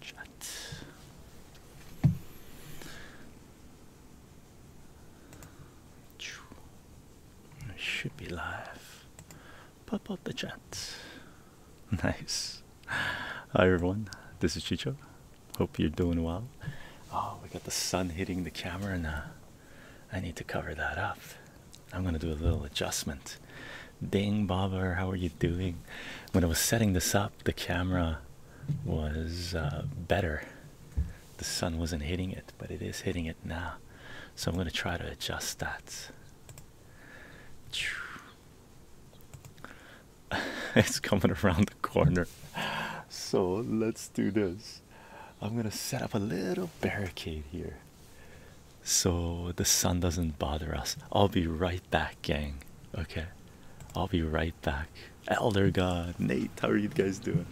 Shut. It should be live. Pop out the chat. Nice. Hi everyone. This is Chicho. Hope you're doing well. Oh, we got the sun hitting the camera now. I need to cover that up. I'm gonna do a little adjustment. Ding Baba. how are you doing? When I was setting this up, the camera was uh, better. The sun wasn't hitting it, but it is hitting it now. So I'm gonna try to adjust that. it's coming around the corner. So let's do this. I'm gonna set up a little barricade here so the sun doesn't bother us. I'll be right back, gang. Okay, I'll be right back. Elder God, Nate, how are you guys doing?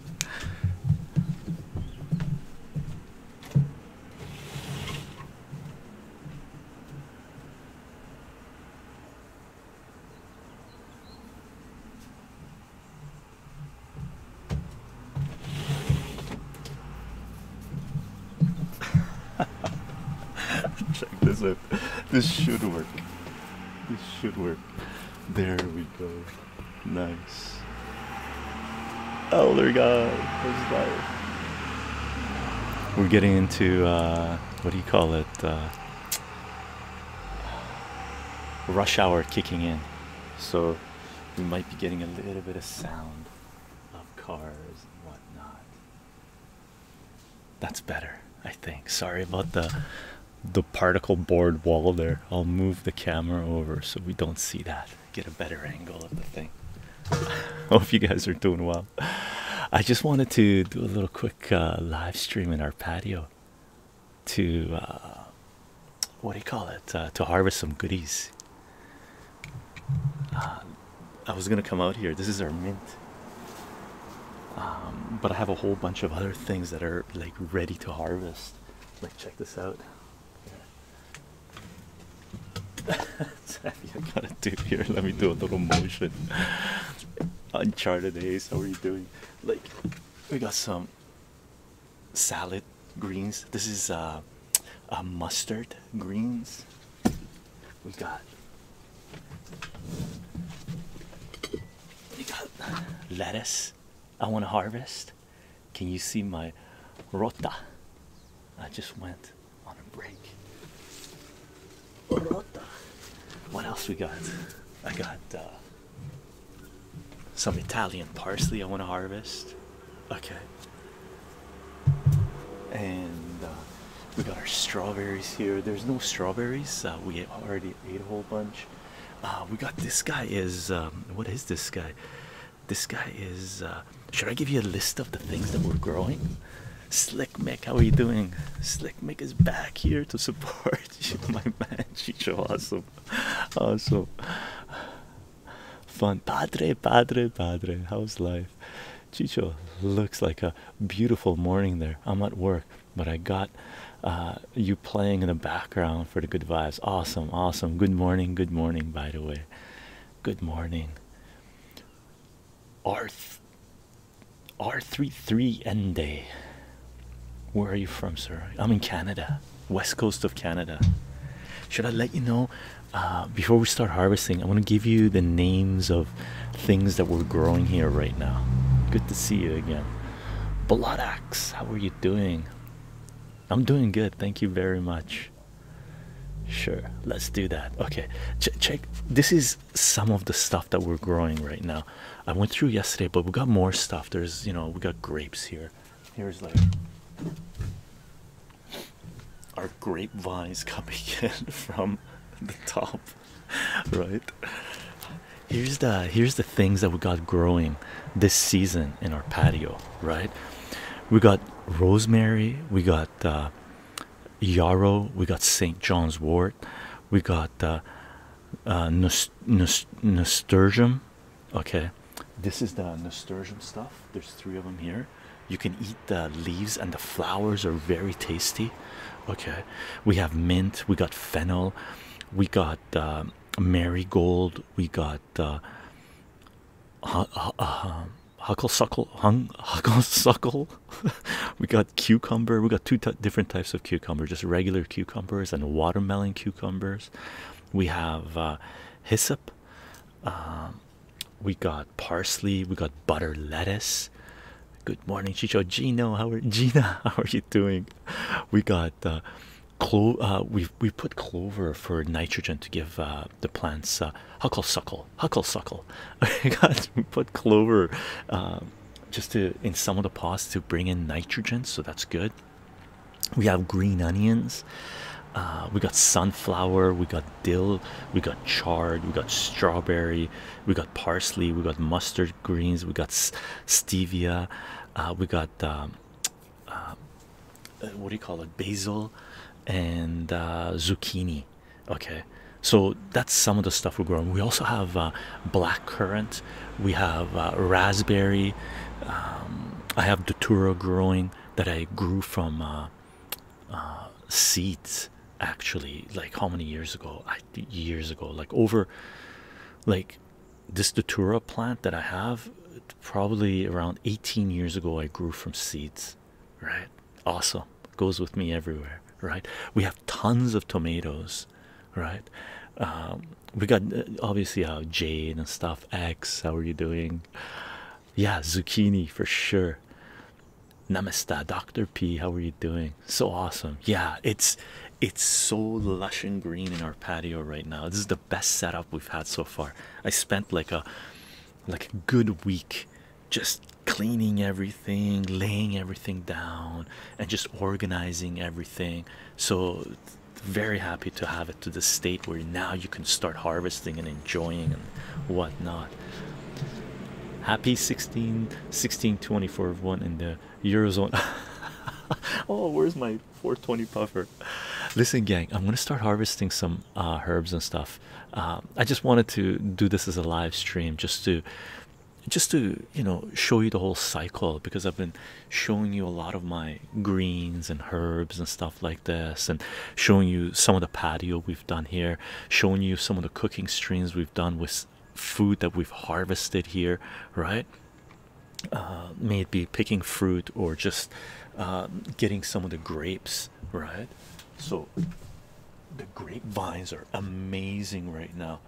Check this out. This should work. This should work. There we go. Nice. Elder God, that's life. We're getting into uh, what do you call it? Uh, rush hour kicking in. So we might be getting a little bit of sound of cars and whatnot. That's better, I think. Sorry about the the particle board wall there. I'll move the camera over so we don't see that. Get a better angle of the thing. Hope you guys are doing well. I just wanted to do a little quick uh, live stream in our patio to uh, what do you call it uh, to harvest some goodies. Uh, I was gonna come out here. This is our mint, um, but I have a whole bunch of other things that are like ready to harvest. Like check this out. I gotta do here. Let me do a little motion. Uncharted Ace, how are you doing? Like, we got some salad greens. This is a uh, uh, mustard greens. We got we got lettuce. I want to harvest. Can you see my rota? I just went on a break. Rota. What else we got? I got. Uh, some Italian parsley I want to harvest. Okay. And uh, we got our strawberries here. There's no strawberries. we already ate a whole bunch. Uh, we got this guy is um, what is this guy? This guy is. Uh, should I give you a list of the things that we're growing? Slick Mick, how are you doing? Slick Mick is back here to support you, my man. Chicho, awesome awesome. Oh, fun. Padre, padre, padre. How's life? Chicho looks like a beautiful morning there. I'm at work, but I got uh, you playing in the background for the good vibes. Awesome, awesome. Good morning, good morning, by the way. Good morning. R R33N Day. Where are you from, sir? I'm in Canada west coast of Canada. Should I let you know uh, before we start harvesting? I want to give you the names of things that we're growing here right now. Good to see you again. Blood axe, how are you doing? I'm doing good, thank you very much. Sure, let's do that. Okay, check. This is some of the stuff that we're growing right now. I went through yesterday, but we got more stuff. There's, you know, we got grapes here. Here's later. Our grapevines coming in from the top, right? Here's the here's the things that we got growing this season in our patio, right? We got rosemary, we got uh, yarrow, we got St. John's wort, we got uh, uh, nasturtium, Okay, this is the nasturtium stuff. There's three of them here. You can eat the leaves, and the flowers are very tasty. Okay, we have mint, we got fennel, we got uh, marigold, we got uh, uh hucklesuckle, hung, hucklesuckle. we got cucumber, we got two different types of cucumber just regular cucumbers and watermelon cucumbers we have uh, hyssop, um, we got parsley, we got butter lettuce. Good morning, Chicho Gino. How are Gina? How are you doing? We got uh, clo uh, we we put clover for nitrogen to give the plants uh, hucklesuckle, hucklesuckle. we got we put clover um, just to in some of the pots to bring in nitrogen, so that's good we have green onions uh, we got sunflower we got dill we got chard we got strawberry we got parsley we got mustard greens we got stevia uh, we got um, uh, what do you call it basil and zucchini okay so that's some of the stuff we're growing we also have uh, black currant we have uh, raspberry um, i have datura growing that i grew from uh, uh, seeds actually like how many years ago years ago like over like this datura plant that i have probably around 18 years ago i grew from seeds right awesome goes with me everywhere right we have tons of tomatoes right um, we got uh, obviously how Jane and stuff. X, how are you doing? Yeah, zucchini for sure. Namaste, Doctor P. How are you doing? So awesome. Yeah, it's it's so lush and green in our patio right now. This is the best setup we've had so far. I spent like a like a good week just cleaning everything, laying everything down, and just organizing everything. So very happy to have it to the state where now you can start harvesting and enjoying and whatnot. Happy 16, 1624 one in the Eurozone. oh, where's my 420 puffer? Listen, gang, I'm gonna start harvesting some uh, herbs and stuff. Um, I just wanted to do this as a live stream just to just to you know show you the whole cycle because I've been showing you a lot of my greens and herbs and stuff like this, and showing you some of the patio we've done here, showing you some of the cooking streams we've done with food that we've harvested here, right? Uh, may it be picking fruit or just um, getting some of the grapes, right? So the grapevines are amazing right now,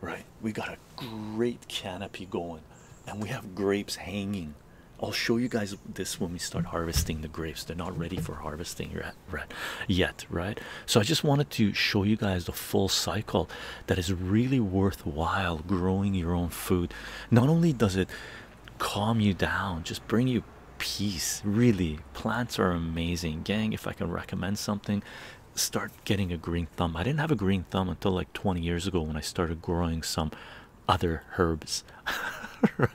right? We got a great canopy going, and we have grapes hanging I'll show you guys this when we start harvesting the grapes. They're not ready for harvesting yet, right? So I just wanted to show you guys the full cycle that is really worthwhile growing your own food. Not only does it calm you down, just bring you peace. Really, plants are amazing, gang. If I can recommend something, start getting a green thumb. I didn't have a green thumb until like 20 years ago when I started growing some other herbs right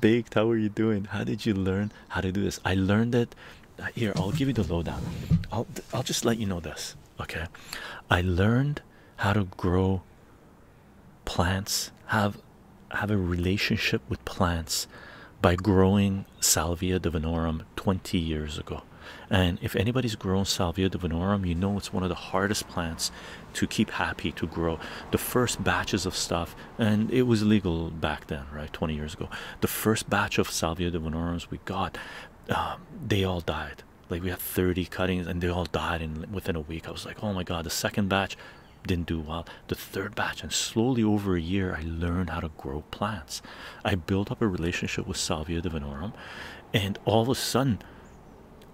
baked how are you doing how did you learn how to do this i learned it uh, here i'll give you the lowdown i'll i'll just let you know this okay i learned how to grow plants have have a relationship with plants by growing salvia divinorum 20 years ago. And if anybody's grown Salvia divinorum, you know it's one of the hardest plants to keep happy to grow. The first batches of stuff, and it was legal back then, right? 20 years ago. The first batch of Salvia divinorum we got, um, they all died. Like we had 30 cuttings and they all died in within a week. I was like, oh my god, the second batch didn't do well. The third batch, and slowly over a year, I learned how to grow plants. I built up a relationship with Salvia divinorum, and all of a sudden,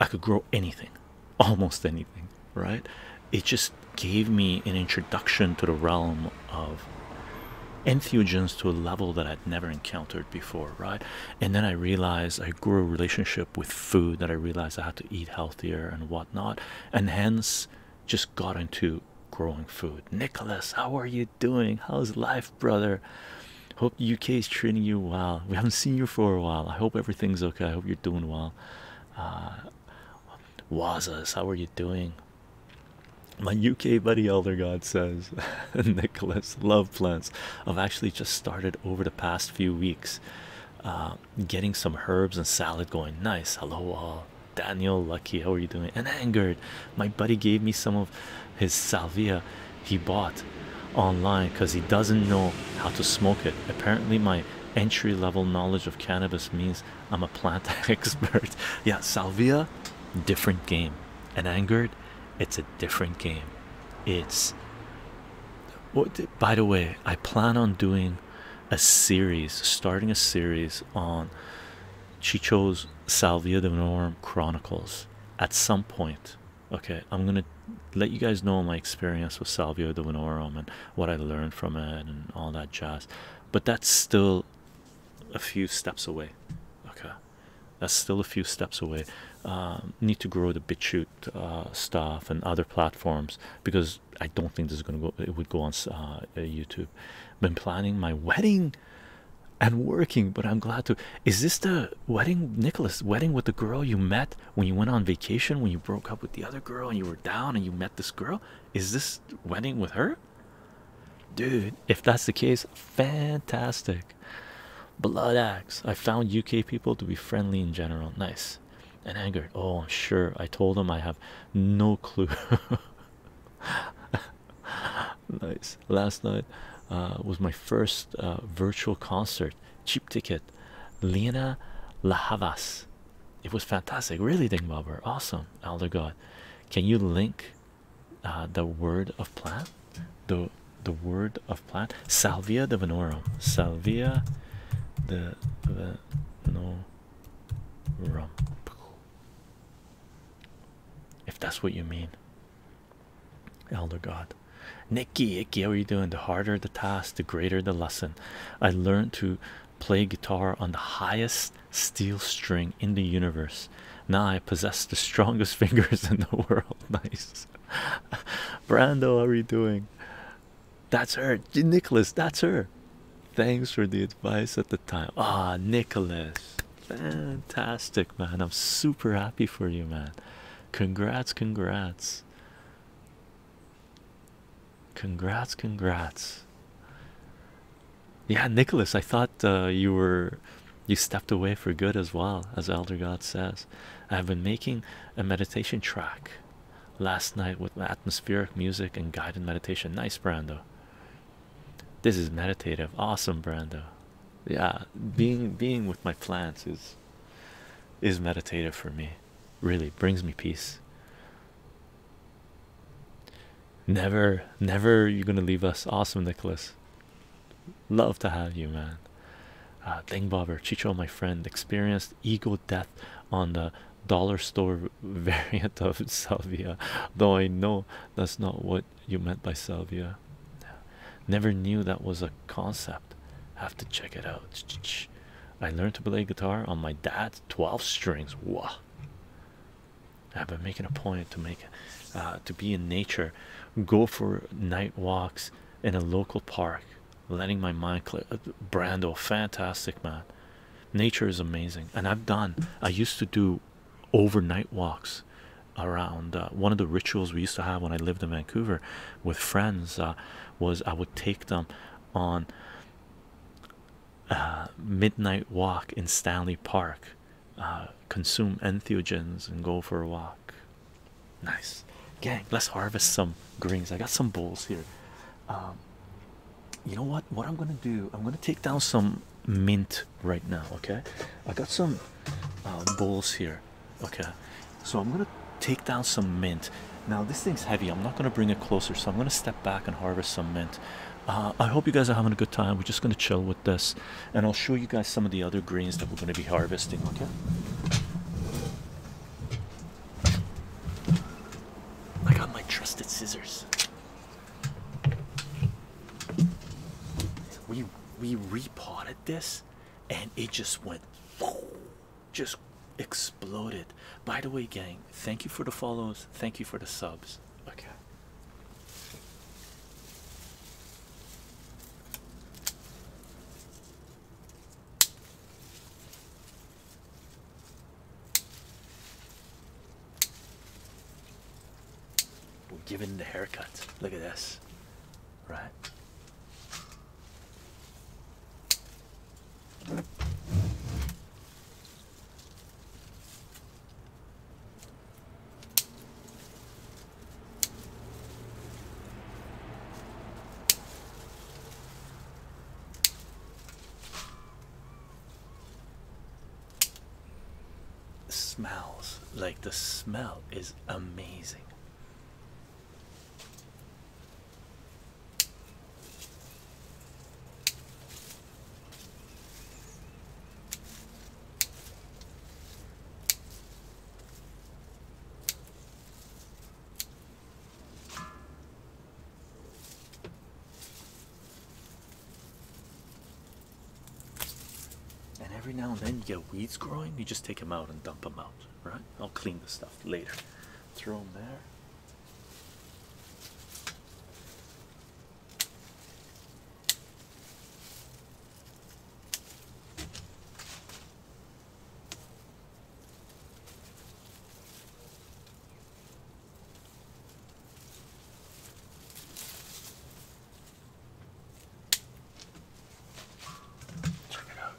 I could grow anything, almost anything, right? It just gave me an introduction to the realm of entheogens to a level that I'd never encountered before, right? And then I realized I grew a relationship with food that I realized I had to eat healthier and whatnot, and hence just got into growing food. Nicholas, how are you doing? How's life, brother. Hope the UK is treating you well. We haven't seen you for a while. I hope everything's okay. I hope you're doing well. Uh, Wazas, how are you doing? My UK buddy Elder God says, Nicholas, love plants. I've actually just started over the past few weeks uh, getting some herbs and salad going. Nice. Hello, all. Daniel, lucky. How are you doing? And angered. My buddy gave me some of his salvia he bought online because he doesn't know how to smoke it. Apparently, my entry level knowledge of cannabis means I'm a plant expert. yeah, salvia, different game. And angered, it's a different game. It's by the way, I plan on doing a series starting a series on she chose Salvia Divinorum Chronicles at some point. Okay, I'm gonna let you guys know my experience with Salvia Divinorum and what I learned from it and all that jazz, but that's still a few steps away. Okay, that's still a few steps away. Um, need to grow the BitChute uh, stuff and other platforms because I don't think this is gonna go. It would go on uh, YouTube. Been planning my wedding and working but i'm glad to is this the wedding nicholas wedding with the girl you met when you went on vacation when you broke up with the other girl and you were down and you met this girl is this wedding with her dude if that's the case fantastic Bloodaxe, i found uk people to be friendly in general nice and angered oh i'm sure i told him i have no clue nice. Last night uh, was my first uh, virtual concert. Cheap ticket. Lena Lahavas. It was fantastic. Really, Ding Bobber. Awesome. Elder God. Can you link uh, the word of plant? The the word of plant. Salvia divinorum. Salvia divinorum if that's what you mean. Elder God, Nicky, Icky, how are you doing? The harder the task, the greater the lesson. I learned to play guitar on the highest steel string in the universe. Now I possess the strongest fingers in the world. Nice, Brando, how are you doing? That's her, Nicholas. That's her. Thanks for the advice at the time. Ah, Nicholas. Fantastic, man. I'm super happy for you, man. Congrats, congrats. Congrats, congrats. Yeah, Nicholas, I thought uh, you were you stepped away for good as well, as Elder God says. I've been making a meditation track last night with atmospheric music and guided meditation. Nice, Brando. This is meditative. Awesome, Brando yeah being being with my plants is is meditative for me really brings me peace never never you're gonna leave us awesome nicholas love to have you man uh thing bobber chicho my friend experienced ego death on the dollar store variant of salvia though i know that's not what you meant by salvia. Never knew that was a concept. Have to check it out. I learned to play guitar on my dad's 12 strings. Wow. I've been making a point to make uh, to be in nature, go for night walks in a local park, letting my mind clear. Uh, Brando, fantastic man. Nature is amazing, and I've done. I used to do overnight walks around uh, one of the rituals we used to have when I lived in Vancouver with friends uh, was I would take them on a midnight walk in Stanley Park uh, consume entheogens and go for a walk nice gang let's harvest some greens I got some bowls here um, you know what what I'm gonna do I'm gonna take down some mint right now. Okay, I got some uh, bowls here. Okay, so I'm gonna take down some mint. Now this thing's heavy. I'm not gonna bring it closer, so I'm gonna step back and harvest some mint. Uh, I hope you guys are having a good time. We're just gonna chill with this, and I'll show you guys some of the other greens that we're gonna be harvesting. Okay. I got my trusted scissors. We we repotted this and it just went just exploded. By the way, gang, thank you for the follows, thank you for the subs. Okay. We're giving the haircut. Look at this. Right smells like the smell is amazing. And every now and then you get weeds growing, you just take them out and dump them out, right? I'll clean the stuff later. Throw them there. Check it out.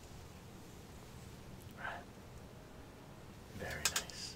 Right. Very nice.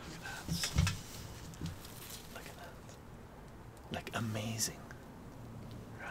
Look at that. Look at that. Like amazing. Right?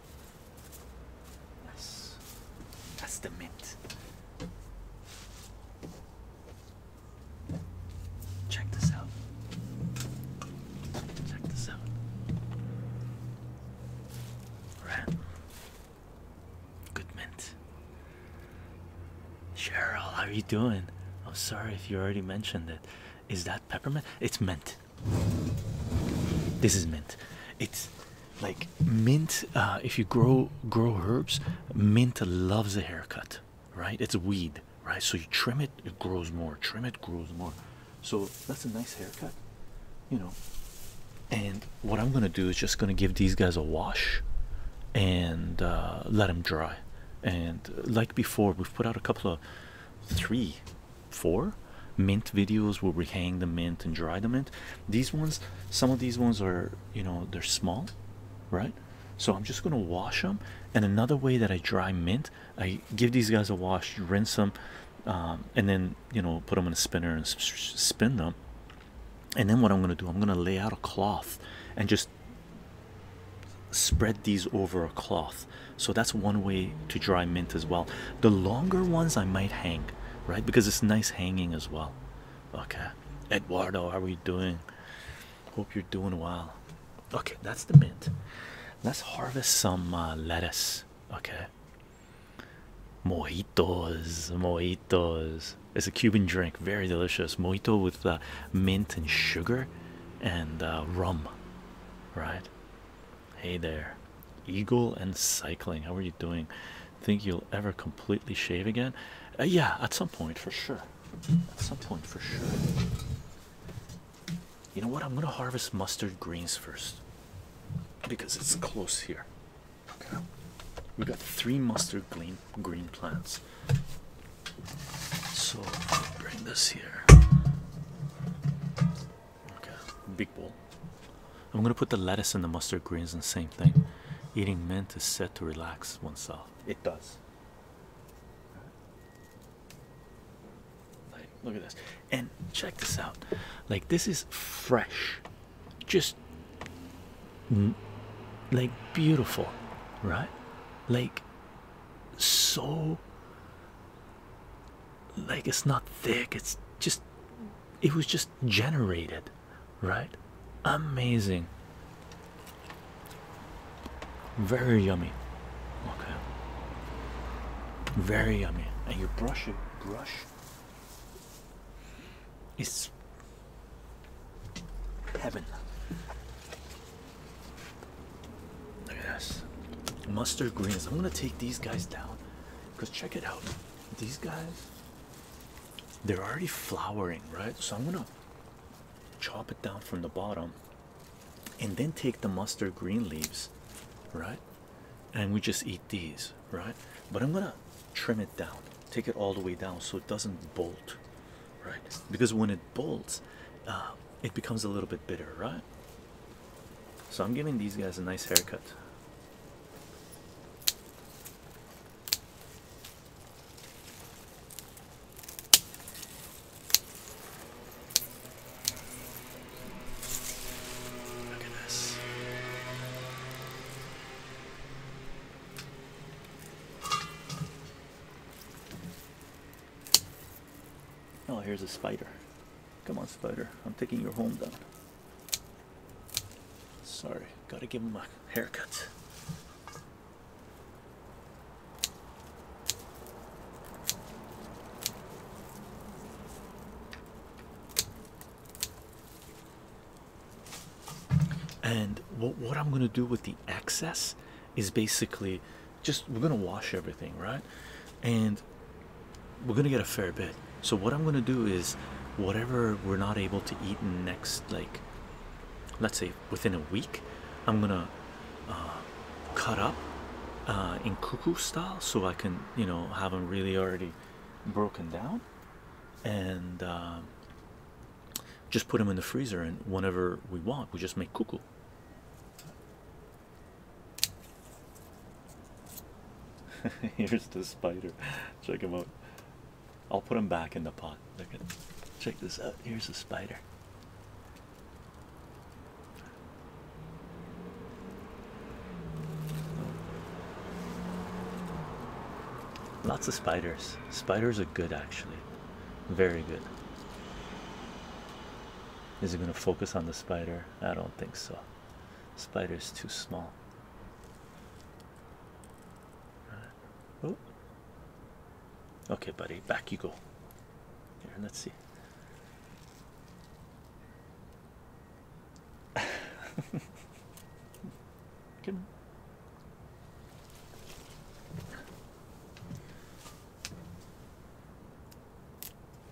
Yes. That's the mint. Check this out. Check this out. Red. Good mint. Cheryl, how are you doing? I'm sorry if you already mentioned it. Is that peppermint? It's mint. This is mint. It's like mint. Uh, if you grow grow herbs, mint loves a haircut, right? It's a weed, right? So you trim it, it grows more. Trim it, grows more. So that's a nice haircut, you know. And what I'm gonna do is just gonna give these guys a wash, and uh, let them dry. And like before, we've put out a couple of three four mint videos where we hang the mint and dry the mint. These ones, some of these ones are, you know, they're small, right? So I'm just gonna wash them. And another way that I dry mint, I give these guys a wash, rinse them, um, and then you know put them in a spinner and spin them. And then what I'm gonna do, I'm gonna lay out a cloth and just spread these over a cloth so that's one way to dry mint as well the longer ones i might hang right because it's nice hanging as well okay eduardo how are you doing hope you're doing well okay that's the mint let's harvest some uh, lettuce okay mojitos mojitos it's a cuban drink very delicious mojito with uh, mint and sugar and uh, rum right Hey there, Eagle and Cycling. How are you doing? Think you'll ever completely shave again? Uh, yeah, at some point for sure. At some point for sure. You know what? I'm gonna harvest mustard greens first because it's close here. we got three mustard green green plants. So bring this here. Okay, big bowl. I'm gonna put the lettuce and the mustard greens in the same thing. Eating mint is said to relax oneself. It does. Like, look at this. And check this out. Like this is fresh. Just like beautiful, right? Like so like it's not thick it's just it was just generated right amazing very yummy okay very yummy and you brush it, brush It's heaven Look Mustard greens. I'm gonna take these guys down. Because check it out. These guys they're already flowering, right? So I'm gonna chop it down from the bottom and then take the mustard green leaves, right? And we just eat these, right? But I'm gonna trim it down, take it all the way down so it doesn't bolt, right? Because when it bolts, uh, it becomes a little bit bitter, right? So I'm giving these guys a nice haircut. Look at this. Oh, here's a spider. Come on, spider. I'm taking your home down. Sorry, gotta give him a haircut. And what, I'm going to do with the excess is basically just we're gonna wash everything right and we're gonna get a fair bit so what i'm gonna do is whatever we're not able to eat next like let's say within a week i'm gonna uh, cut up uh, in cuckoo style so i can you know have them really already broken down and um, just put them in the freezer and whenever we want we just make cuckoo Here's the spider. Check him out. I'll put him back in the pot. Look at check this out. Here's the spider. Lots of spiders. Spiders are good actually. Very good. Is it gonna focus on the spider? I don't think so. Spider's too small. Right. Oh. Okay, buddy, back you go. let's see. Good.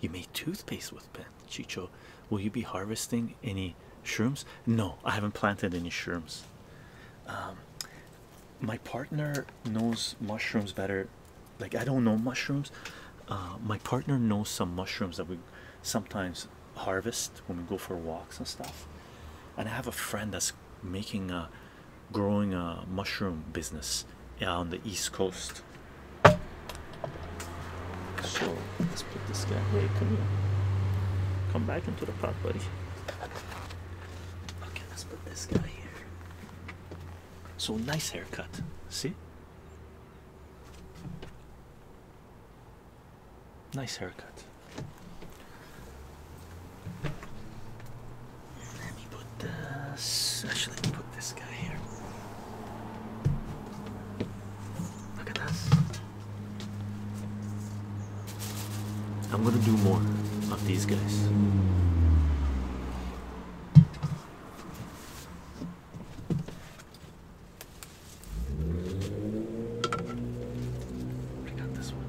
You made toothpaste with pen, Chicho. Will you be harvesting any shrooms? No, I haven't planted any shrooms. Um, my partner knows mushrooms better. Like I don't know mushrooms. Uh, my partner knows some mushrooms that we sometimes harvest when we go for walks and stuff. And I have a friend that's making a growing a mushroom business on the East Coast. So let's put this guy. Hey, come here. Come back into the pot, buddy. Okay, let's put this guy here. So nice haircut. See? Nice haircut. Actually, put this guy here. Look at this. I'm gonna do more of these guys. Pick up this one.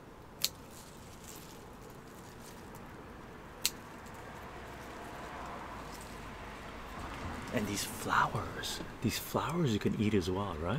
And these flowers, these flowers you can eat as well, right?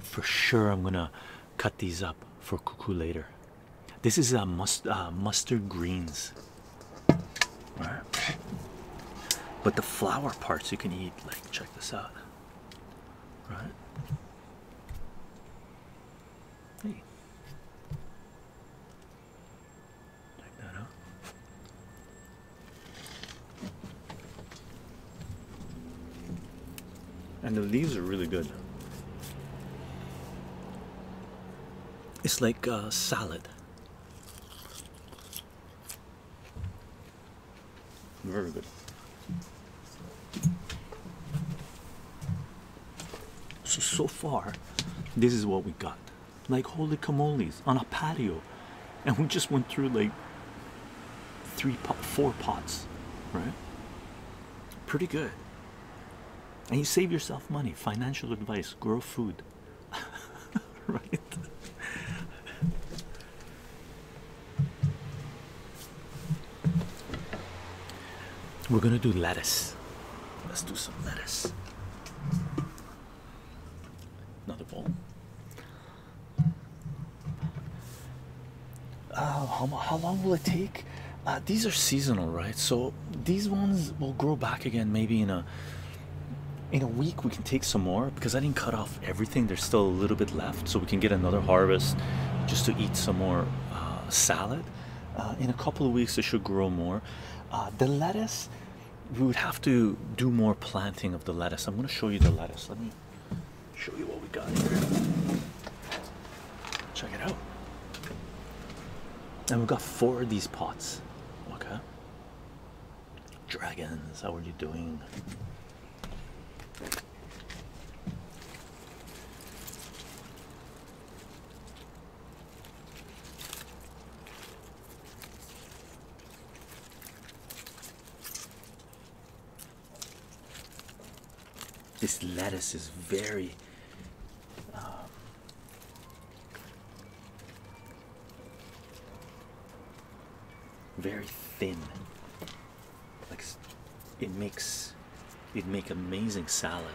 For sure, I'm gonna cut these up for cuckoo later. This is a uh, uh, mustard greens, but the flower parts you can eat. Like, check this out, right? Hey, Check that out. And the leaves are really good. It's like uh, salad. Very good. So, so far, this is what we got like holy kamolies on a patio and we just went through like three pot four pots right pretty good and you save yourself money financial advice grow food right we're gonna do lettuce let's do some lettuce Another ball. Oh, how, how long will it take? Uh, these are seasonal, right? So these ones will grow back again maybe in a in a week we can take some more because I didn't cut off everything. There's still a little bit left, so we can get another harvest just to eat some more uh, salad. Uh, in a couple of weeks, it should grow more. Uh, the lettuce, we would have to do more planting of the lettuce. I'm going to show you the lettuce. Let me show you what we got here. Check it out. And we've got four of these pots. Okay. Dragons, how are you doing? This lettuce is very um, very thin. Like it makes it make amazing salad.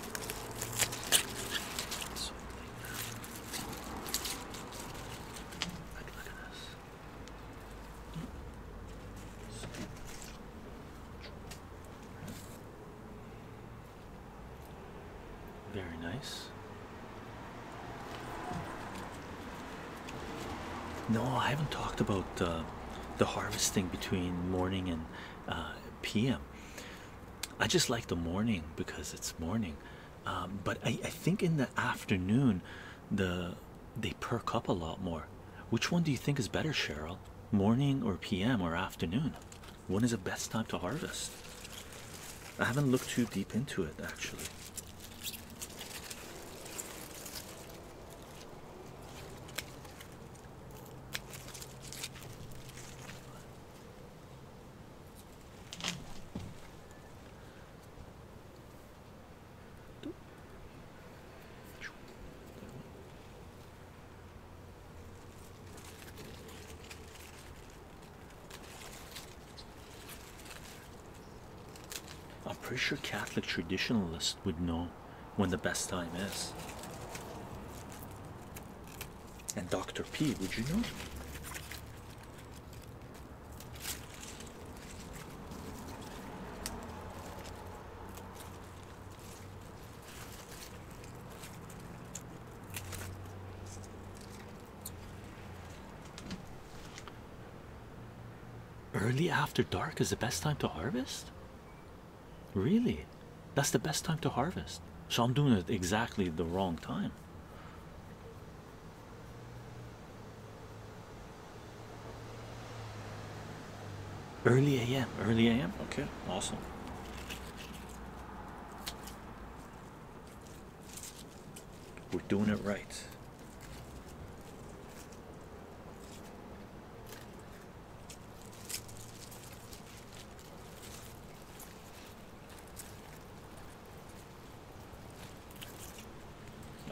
Very nice. No, I haven't talked about uh, the harvesting between morning and uh, p.m. I just like the morning because it's morning. Um, but I, I think in the afternoon, the they perk up a lot more. Which one do you think is better, Cheryl? Morning or PM or afternoon? When is the best time to harvest? I haven't looked too deep into it actually. I'm pretty sure Catholic traditionalists would know when the best time is. And Dr. P, would you know? Early after dark is the best time to harvest? Really? That's the best time to harvest. So I'm doing it exactly the wrong time. Early AM, early AM. Okay, awesome. We're doing it right.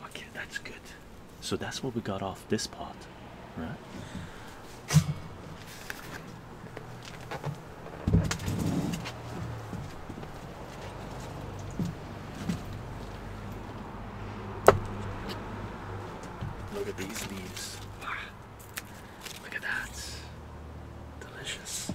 Okay, that's good. So that's what we got off this pot, right? Look at these leaves. Ah. Look at that. Delicious.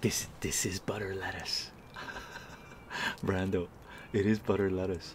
This this is butter lettuce. Brando, it is butter lettuce.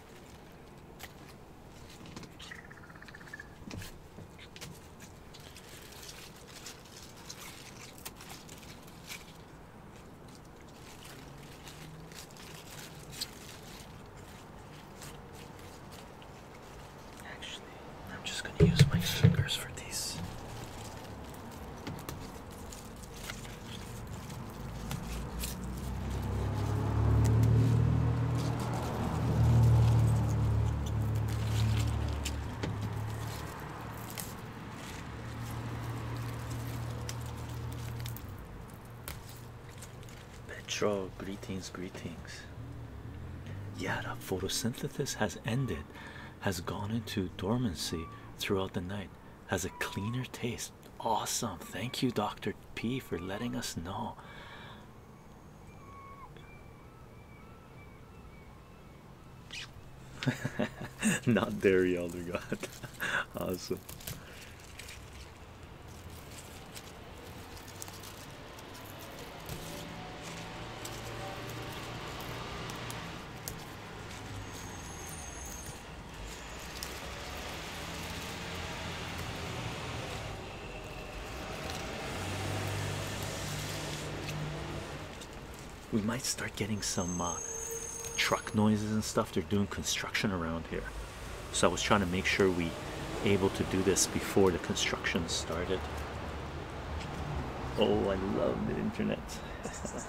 Actually, I'm just going to use my fingers for these. Petrol. greetings, greetings. Yeah, that photosynthesis has ended, has gone into dormancy throughout the night, has a cleaner taste. Awesome. Thank you, Dr. P, for letting us know. Not dairy, Elder God. awesome. We might start getting some uh, truck noises and stuff. They're doing construction around here. So I was trying to make sure we able to do this before the construction started. Oh, I love the internet.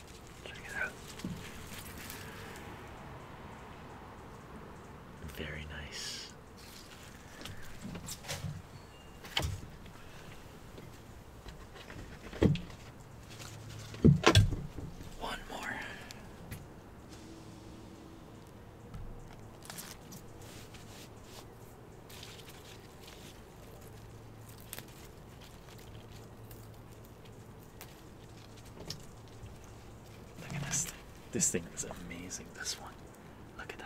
Check it out. Very nice. One more. Look at this thing. This thing is amazing. This one. Look at that.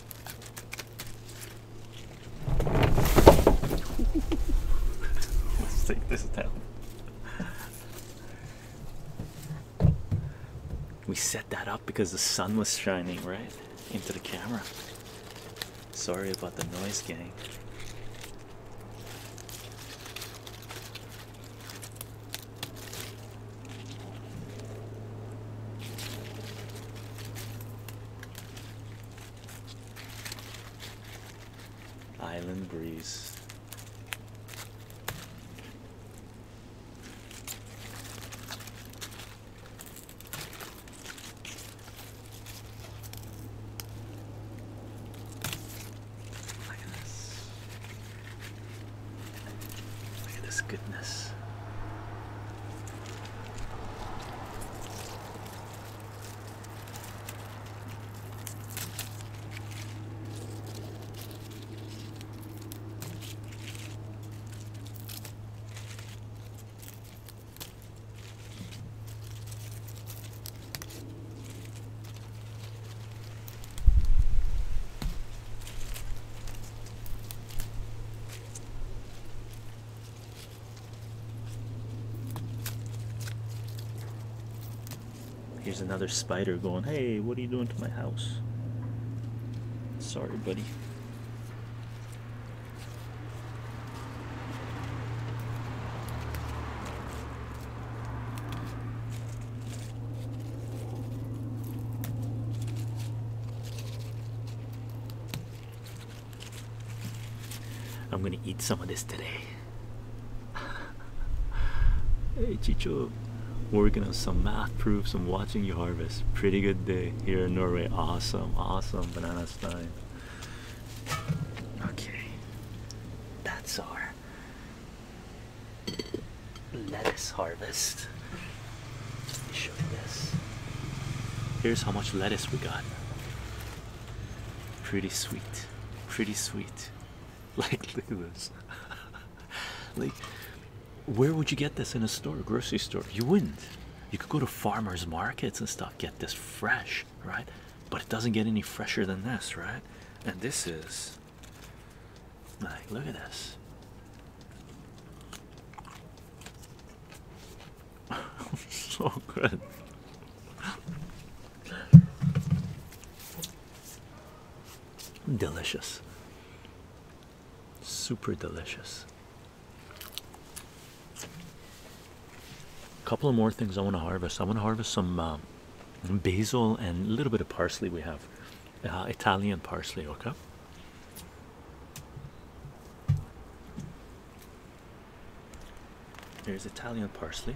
Let's take this down. We set that up because the sun was shining right into the camera. Sorry about the noise, gang. Island breeze. Look at this. Look at this goodness. Here's another spider going, hey, what are you doing to my house? Sorry, buddy. I'm gonna eat some of this today. hey, Chicho, working on some math proofs I'm watching you harvest. Pretty good day here in Norway. Awesome, awesome, banana time. Okay, that's our lettuce harvest. Show you this. Here's how much lettuce we got. Pretty sweet. Pretty sweet. Like, look at this. like, where would you get this in a store, a grocery store? You wouldn't. You could go to farmers markets and stuff, get this fresh, right? But it doesn't get any fresher than this, right? And this is like, look at this so good. Delicious. Super delicious. A couple of more things I want to harvest. I want to harvest some uh, basil and a little bit of parsley we have uh, Italian parsley, okay. There's Italian parsley.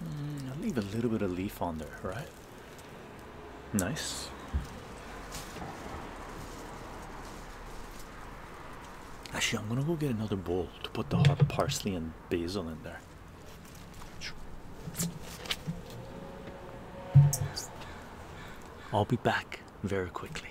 Hmm, I'll leave a little bit of leaf on there, right? Nice. Actually, I'm gonna go get another bowl to put the hot parsley and basil in there. I'll be back very quickly.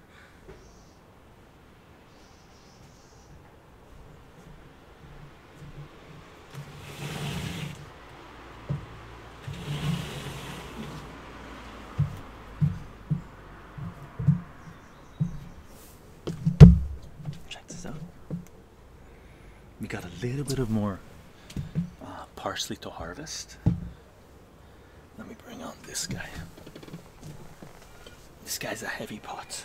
Check this out. We got a little bit of more uh, parsley to harvest. Let me bring on this guy. This guy's a heavy pot.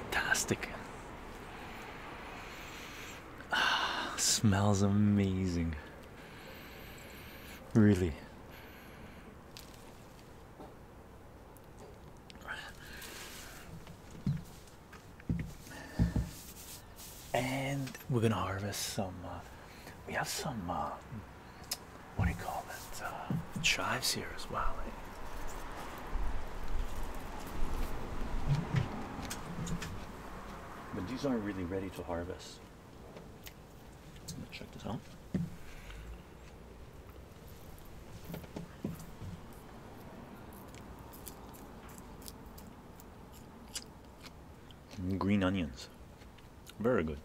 fantastic. Ah, smells amazing. Really. And we're gonna harvest some. Uh, we have some. Uh, what do you call this? Uh, it uh, chives here as well. Eh? But these aren't really ready to harvest. Let's check this out. Green onions, very good,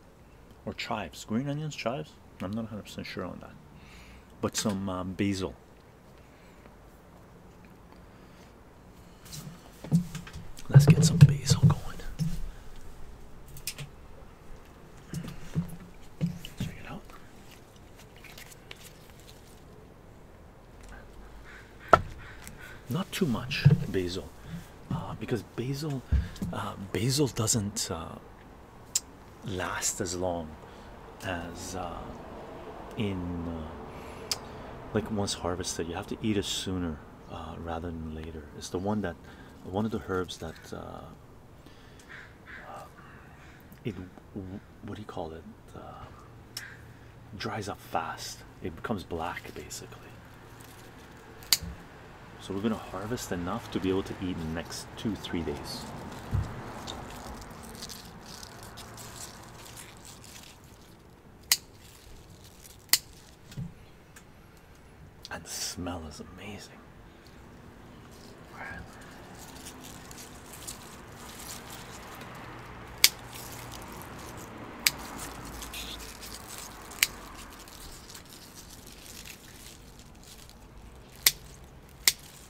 or chives. Green onions, chives. I'm not 100% sure on that, but some um, basil. Let's get some basil going. Check it out. Not too much basil, uh, because basil, uh, basil doesn't uh, last as long as uh, in uh, like once harvested you have to eat it sooner uh, rather than later it's the one that one of the herbs that it what do you call it dries up fast it becomes black basically so we're gonna harvest enough to be able to eat next two, three days. And the smell is amazing.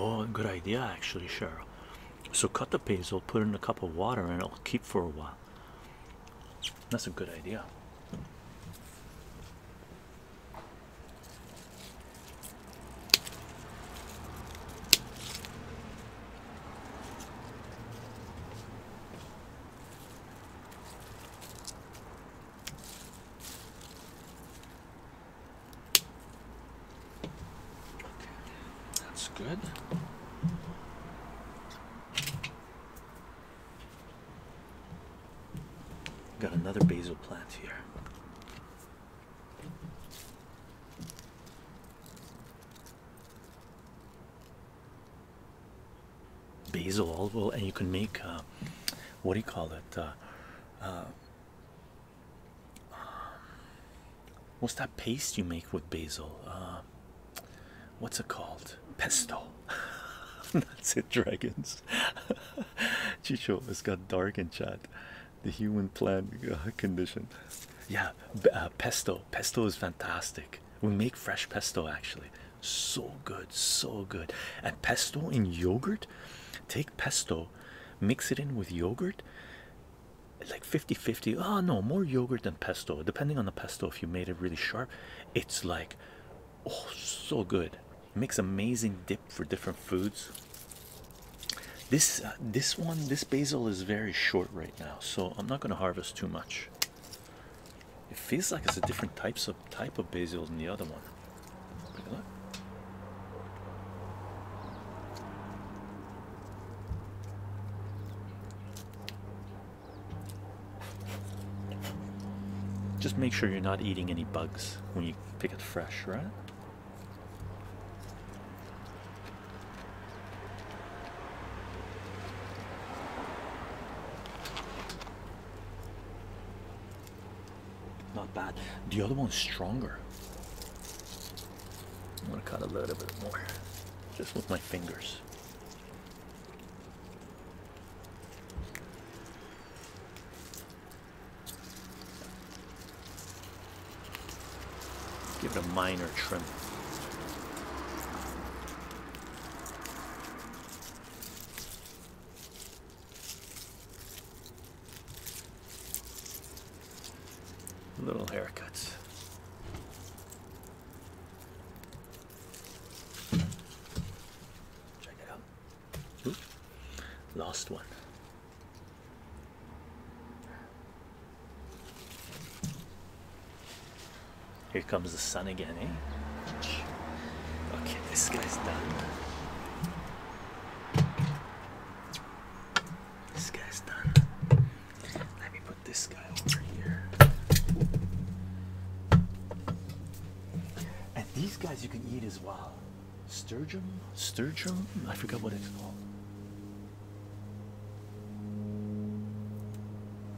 Oh, good idea, actually, Cheryl. So cut the basil, put in a cup of water, and it'll keep for a while. That's a good idea. Okay, that's good. Got another basil plant here basil olive oil and you can make uh, what do you call it uh, uh, what's that paste you make with basil what's it called pesto that's dragons. Chicho, it's got dark in chat. The human plant condition. Yeah, uh, pesto. Pesto is fantastic. We make fresh pesto actually. So good, so good. And pesto in yogurt. Take pesto, mix it in with yogurt. Like 50 50. Ah, no, more yogurt than pesto. Depending on the pesto, if you made it really sharp, it's like oh, so good makes amazing dip for different foods this uh, this one this basil is very short right now so i'm not going to harvest too much it feels like it's a different types of type of basil than the other one just make sure you're not eating any bugs when you pick it fresh right not bad. The other one's stronger. I'm gonna cut a little bit more, just with my fingers. Give it a minor trim. Little haircuts. Check it out. Oop, hmm? lost one. Here comes the sun again, eh? Okay, this guy's done. This guy's done. Let me put this guy over here. And these guys you can eat as well. Sturgeon? Sturgeon? I forgot what it's called.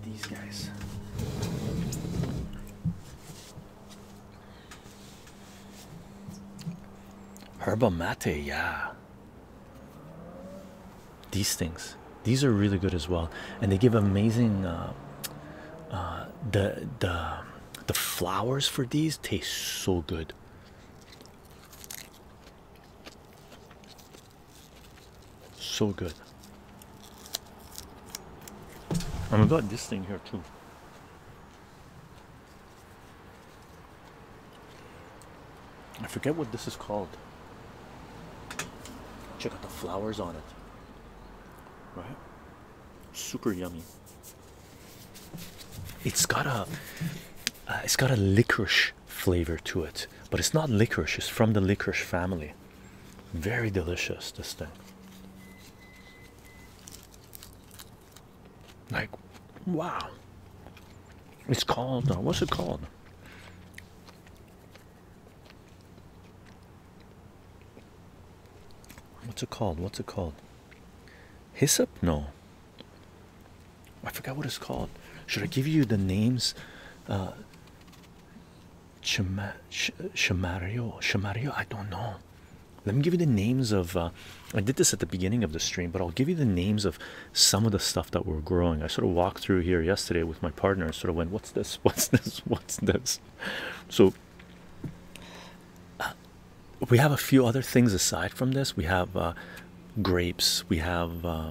These guys. Herba mate, yeah. These things. These are really good as well, and they give amazing. Uh, uh, the the the flowers for these taste so good. So good. i we got this thing here too. I forget what this is called. Check out the flowers on it. Right? Super yummy. It's got a uh, it's got a licorice flavor to it, but it's not licorice. It's from the licorice family. Very delicious this thing. Like, wow. It's called. Uh, what's it called? What's it called? What's it called? Hyssop? No. I forgot what it's called. Should I give you the names? Uh, Chima, I don't know. Let me give you the names of. Uh, I did this at the beginning of the stream, but I'll give you the names of some of the stuff that we're growing. I sort of walked through here yesterday with my partner and sort of went, "What's this? What's this? What's this?" So, we have a few other things aside from this. We have uh, grapes, we have uh,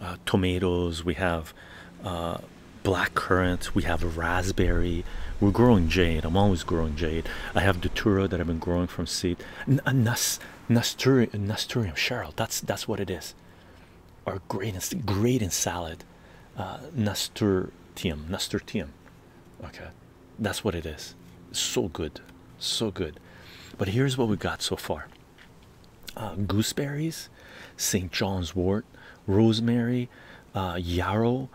uh, tomatoes, we have uh, black currant, we have raspberry. We're growing jade. I'm always growing jade. I have the datura that I've been growing from seed. N nas nasturium Cheryl. That's that's what it is. Or great in salad. nasturtium nasturtium. Okay. That's what it is. So good, so good. But here's what we got so far uh, gooseberries, St. John's wort, rosemary, uh, yarrow,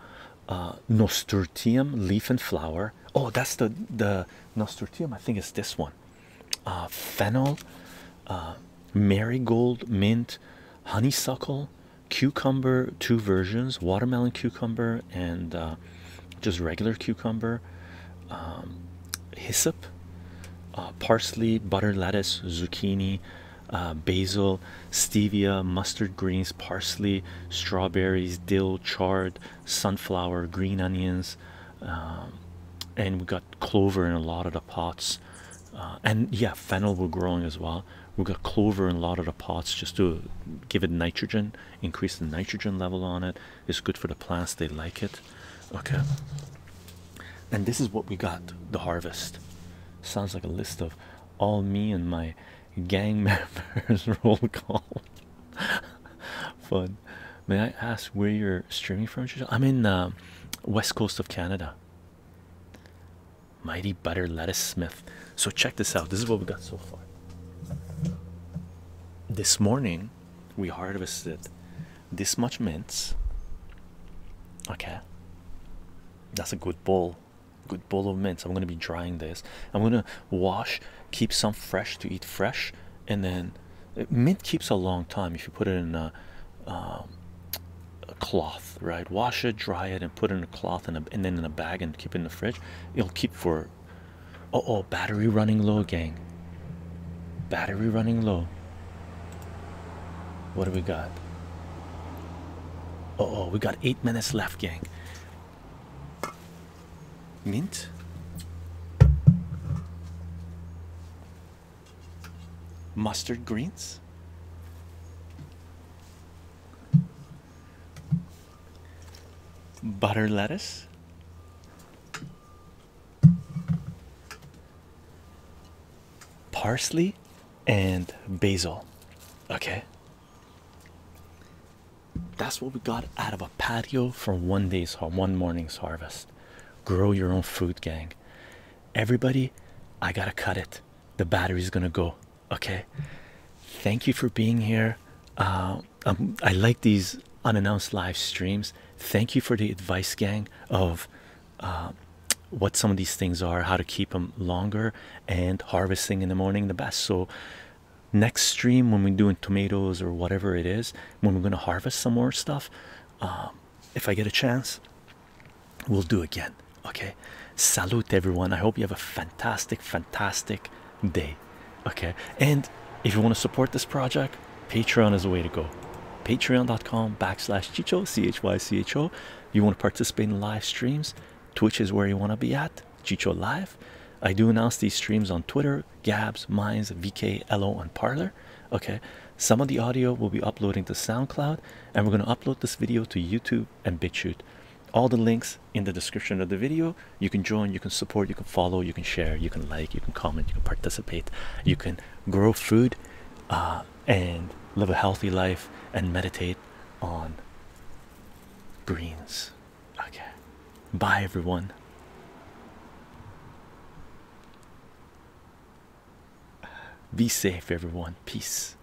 uh, nasturtium, leaf and flower. Oh, that's the, the nasturtium, I think it's this one. Uh, fennel, marigold, mint, honeysuckle, cucumber, two versions watermelon cucumber and uh, just regular cucumber, um, hyssop, uh, parsley, butter lettuce, zucchini, uh, basil, stevia, mustard greens, parsley, strawberries, dill, chard, sunflower, green onions. Um, and we got clover in a lot of the pots and yeah fennel were growing as well We've got clover in a lot of the pots just to give it nitrogen, increase the nitrogen level on it. It's good for the plants, they like it. Okay. And this is what we got the harvest. Sounds like a list of all me and my gang members roll call. Fun. May I ask where you're streaming from? I'm in the uh, west coast of Canada. Mighty Butter Lettuce Smith. So check this out. This is what we got so far. This morning we harvested this much mint. Okay. That's a good bowl. Good bowl of mint. So I'm gonna be drying this. I'm gonna wash, keep some fresh to eat fresh, and then mint keeps a long time if you put it in a, um, cloth, right? Wash it, dry it, and put it in cloth and, and then in a bag and keep it in the fridge it'll keep for oh oh battery running low gang battery running low what do we got oh oh we got eight minutes left gang mint mustard greens butter lettuce, parsley, and basil. Okay. That's what we got out of a patio from one day's one morning's harvest. Grow your own food, gang. Everybody, I gotta cut it. The battery's gonna go. Okay, thank you for being here. Uh, um, I like these unannounced live streams. Thank you for the advice, gang, of uh, what some of these things are, how to keep them longer, and harvesting in the morning the best. So, next stream when we're doing tomatoes or whatever it is, when we're gonna harvest some more stuff, um, if I get a chance, we'll do again. Okay, salute everyone. I hope you have a fantastic, fantastic day. Okay, and if you want to support this project, Patreon is a way to go. Patreon.com backslash Chicho, C H Y C H O. You want to participate in live streams? Twitch is where you want to be at, Chicho Live. I do announce these streams on Twitter, Gabs, Minds, VK, LO, and Parlor. Okay, some of the audio will be uploading to SoundCloud, and we're going to upload this video to YouTube YouTube and BitChute. All the links in the description of the video. You can join, you can support, you can follow, you can share, you can like, you can comment, you can participate, you can grow food uh, and live a healthy life and meditate on greens. Okay. Bye, everyone. Be safe, everyone. Peace.